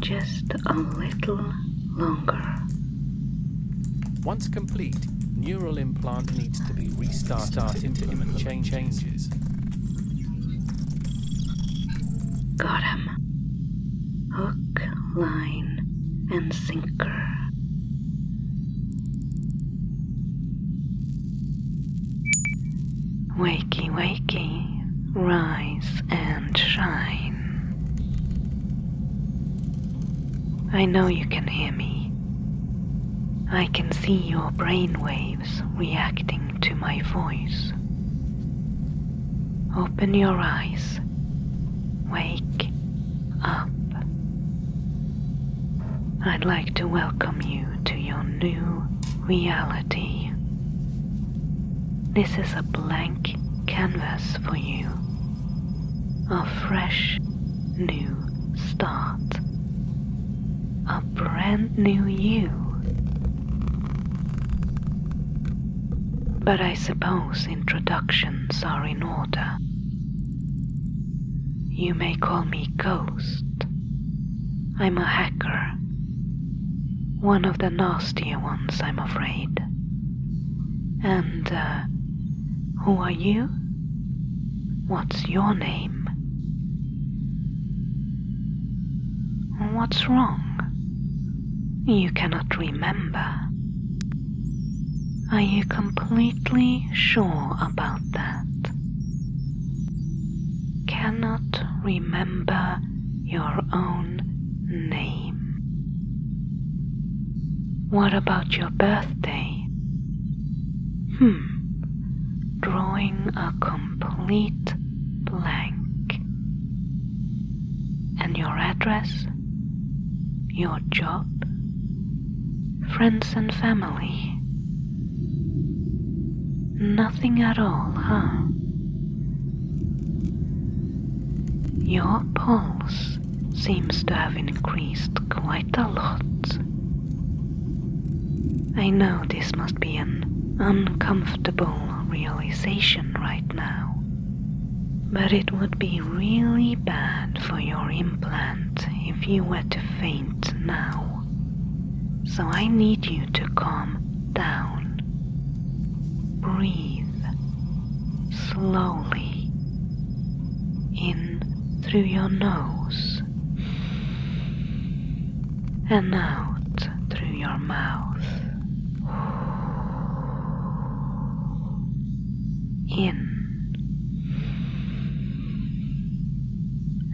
just a little longer. Once complete, neural implant needs to be restarted into implement chain changes. Got him. Hook, line, and sinker. Wakey, wakey, rise and shine. I know you can hear me. I can see your brain waves reacting to my voice. Open your eyes. Wake up. I'd like to welcome you to your new reality. This is a blank canvas for you, a fresh new start, a brand new you. But I suppose introductions are in order. You may call me Ghost. I'm a hacker one of the nastier ones, I'm afraid. And, uh, who are you? What's your name? What's wrong? You cannot remember. Are you completely sure about that? cannot remember your own name. What about your birthday? Hmm, drawing a complete blank. And your address? Your job? Friends and family? Nothing at all, huh? Your pulse seems to have increased quite a lot. I know this must be an uncomfortable realization right now, but it would be really bad for your implant if you were to faint now. So I need you to calm down. Breathe slowly in through your nose and out through your mouth. In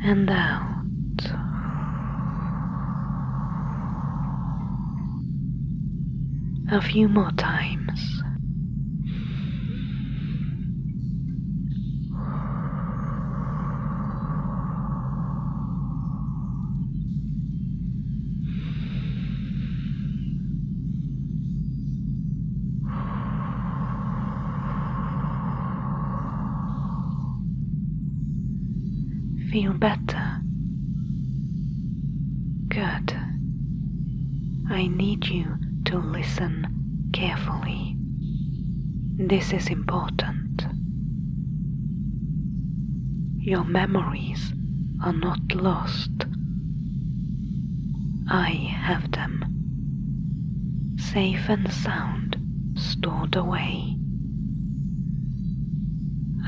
and out. A few more times. Feel better. Good. I need you to listen carefully. This is important. Your memories are not lost. I have them safe and sound, stored away.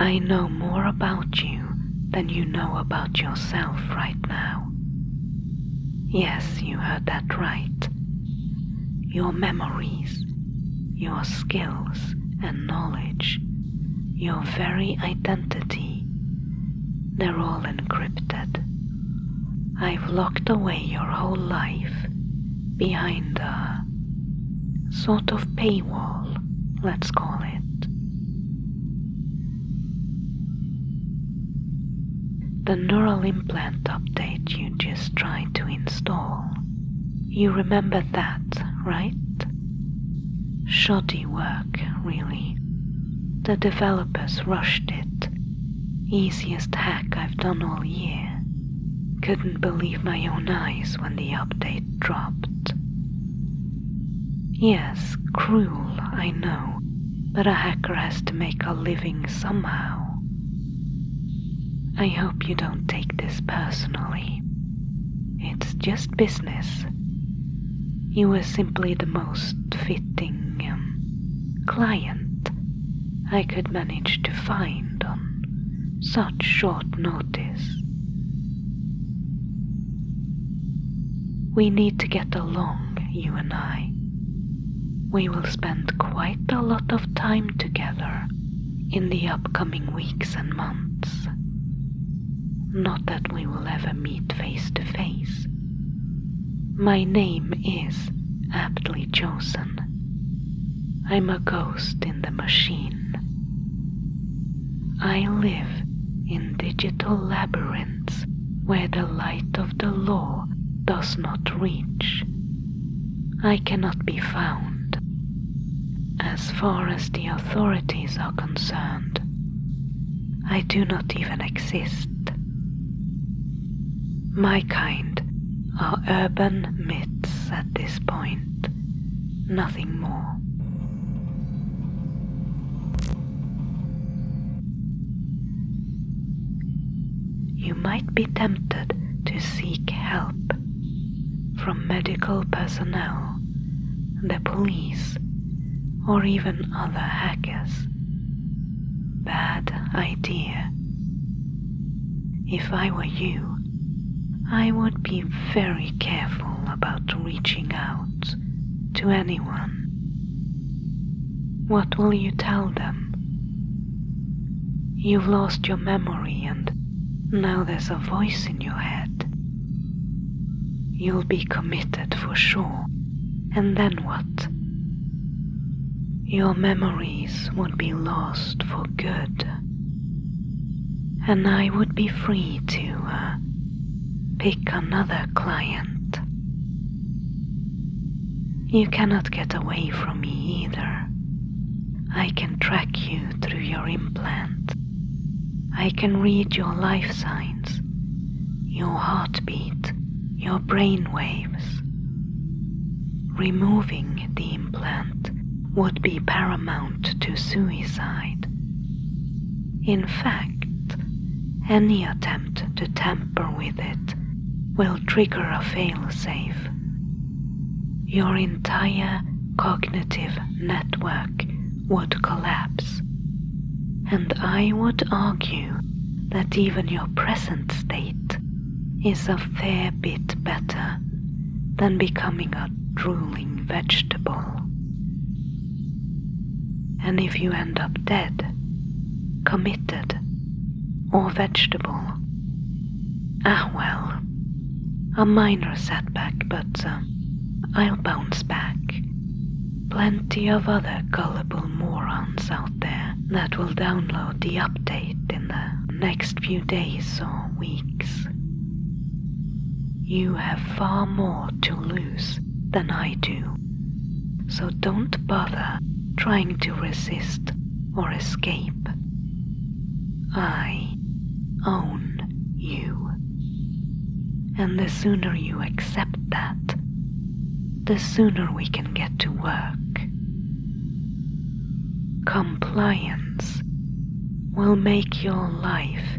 I know more about you than you know about yourself right now. Yes, you heard that right. Your memories, your skills and knowledge, your very identity, they're all encrypted. I've locked away your whole life behind a sort of paywall, let's call it. The neural implant update you just tried to install, you remember that, right? Shoddy work, really. The developers rushed it Easiest hack I've done all year. Couldn't believe my own eyes when the update dropped. Yes, cruel, I know, but a hacker has to make a living somehow. I hope you don't take this personally. It's just business. You were simply the most fit fitting um, client I could manage to find on such short notice. We need to get along, you and I. We will spend quite a lot of time together in the upcoming weeks and months. Not that we will ever meet face to face, my name is aptly chosen. I'm a ghost in the machine. I live in digital labyrinths where the light of the law does not reach. I cannot be found. As far as the authorities are concerned, I do not even exist. My kind are urban myths at this point, nothing more. You might be tempted to seek help from medical personnel, the police, or even other hackers Bad idea. If I were you, I would be very careful about reaching out to anyone. What will you tell them? You've lost your memory and now there's a voice in your head. You'll be committed for sure. And then what? your memories would be lost for good, and I would be free to uh, pick another client. You cannot get away from me either. I can track you through your implant. I can read your life signs your heartbeat, your brainwaves. Removing the implant would be paramount to suicide. In fact, any attempt to tamper with it will trigger a failsafe. Your entire cognitive network would collapse. And I would argue that even your present state is a fair bit better than becoming a drooling vegetable. And if you end up dead, committed, or vegetable, ah well, a minor setback, but uh, I'll bounce back plenty of other gullible morons out there that will download the update in the next few days or weeks. You have far more to lose than I do, so don't bother trying to resist or escape. I own you. And the sooner you accept that, the sooner we can get to work. Compliance will make your life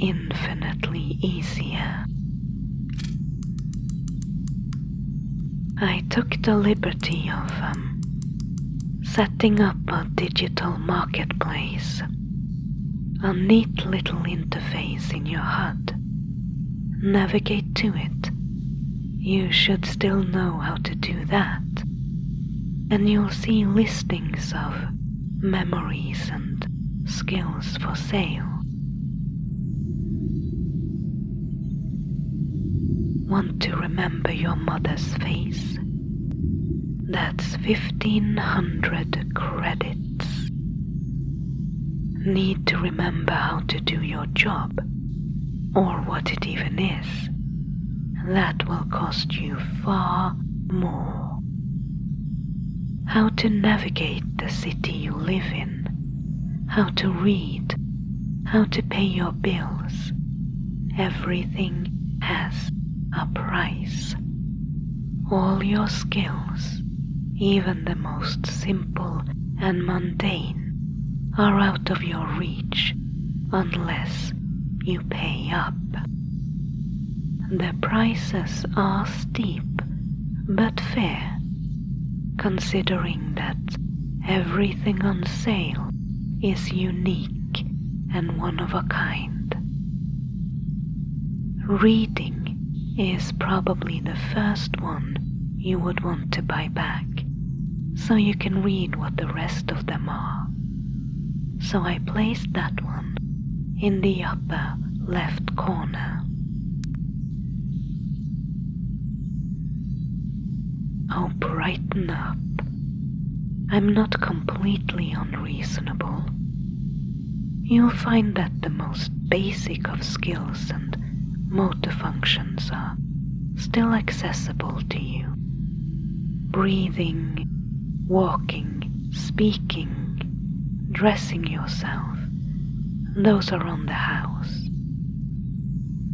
infinitely easier. I took the liberty of um, setting up a digital marketplace a neat little interface in your HUD. Navigate to it. You should still know how to do that. And you'll see listings of memories and skills for sale. Want to remember your mother's face? That's 1500 credits need to remember how to do your job or what it even is. That will cost you far more. How to navigate the city you live in, how to read, how to pay your bills. Everything has a price all your skills, even the most simple and mundane, are out of your reach unless you pay up. The prices are steep but fair, considering that everything on sale is unique and one of a kind. Reading is probably the first one you would want to buy back, so you can read what the rest of them are. So I placed that one in the upper left corner. Oh, brighten up. I'm not completely unreasonable. You'll find that the most basic of skills and motor functions are still accessible to you. Breathing, walking, speaking, dressing yourself, those are on the house.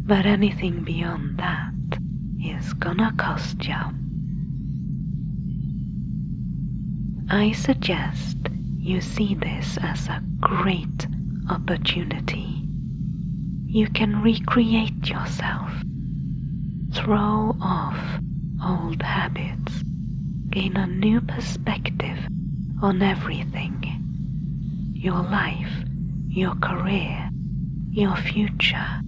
But anything beyond that is gonna cost you I suggest you see this as a great opportunity. You can recreate yourself, throw off old habits, gain a new perspective on everything your life, your career, your future.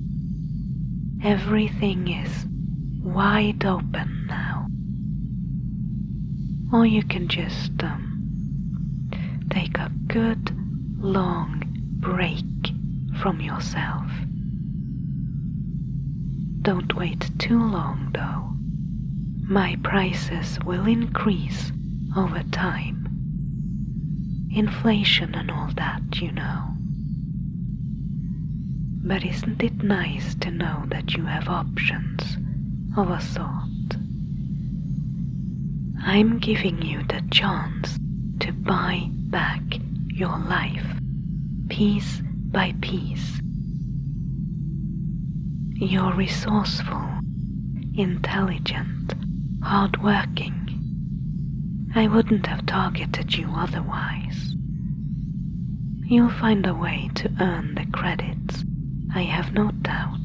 Everything is wide open now. Or you can just um, take a good long break from yourself. Don't wait too long though. My prices will increase over time. Inflation and all that, you know. But isn't it nice to know that you have options of a sort? I'm giving you the chance to buy back your life piece by piece. You're resourceful, intelligent, hardworking, I wouldn't have targeted you otherwise. You'll find a way to earn the credits, I have no doubt.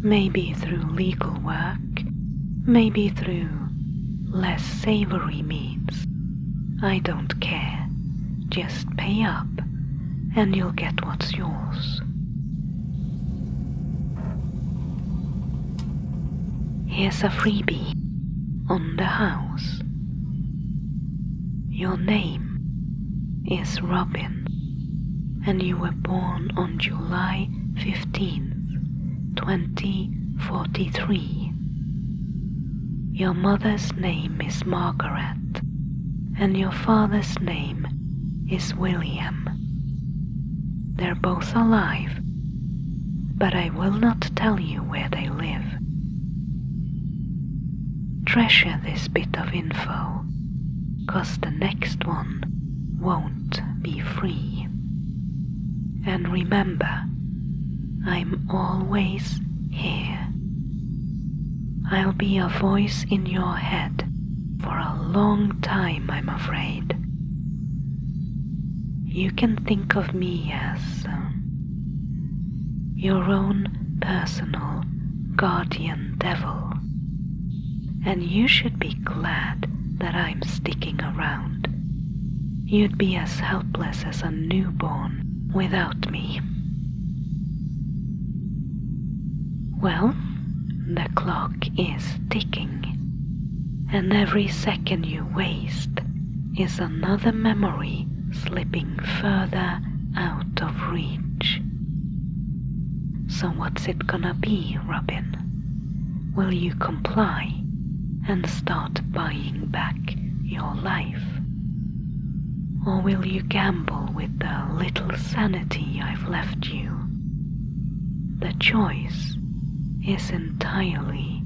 Maybe through legal work, maybe through less savory means. I don't care. Just pay up, and you'll get what's yours. Here's a freebie on the house. Your name is Robin, and you were born on July 15th, 2043. Your mother's name is Margaret, and your father's name is William. They're both alive. But I will not tell you where they live. Treasure this bit of info, cause the next one won't be free. And remember, I'm always here. I'll be a voice in your head for a long time, I'm afraid. You can think of me as um, your own personal guardian devil, and you should be glad that I'm sticking around. You'd be as helpless as a newborn without me. Well, the clock is ticking, and every second you waste is another memory slipping further out of reach. So, what's it gonna be, Robin? Will you comply and start buying back your life? Or will you gamble with the little sanity I've left you the choice is entirely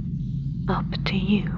up to you.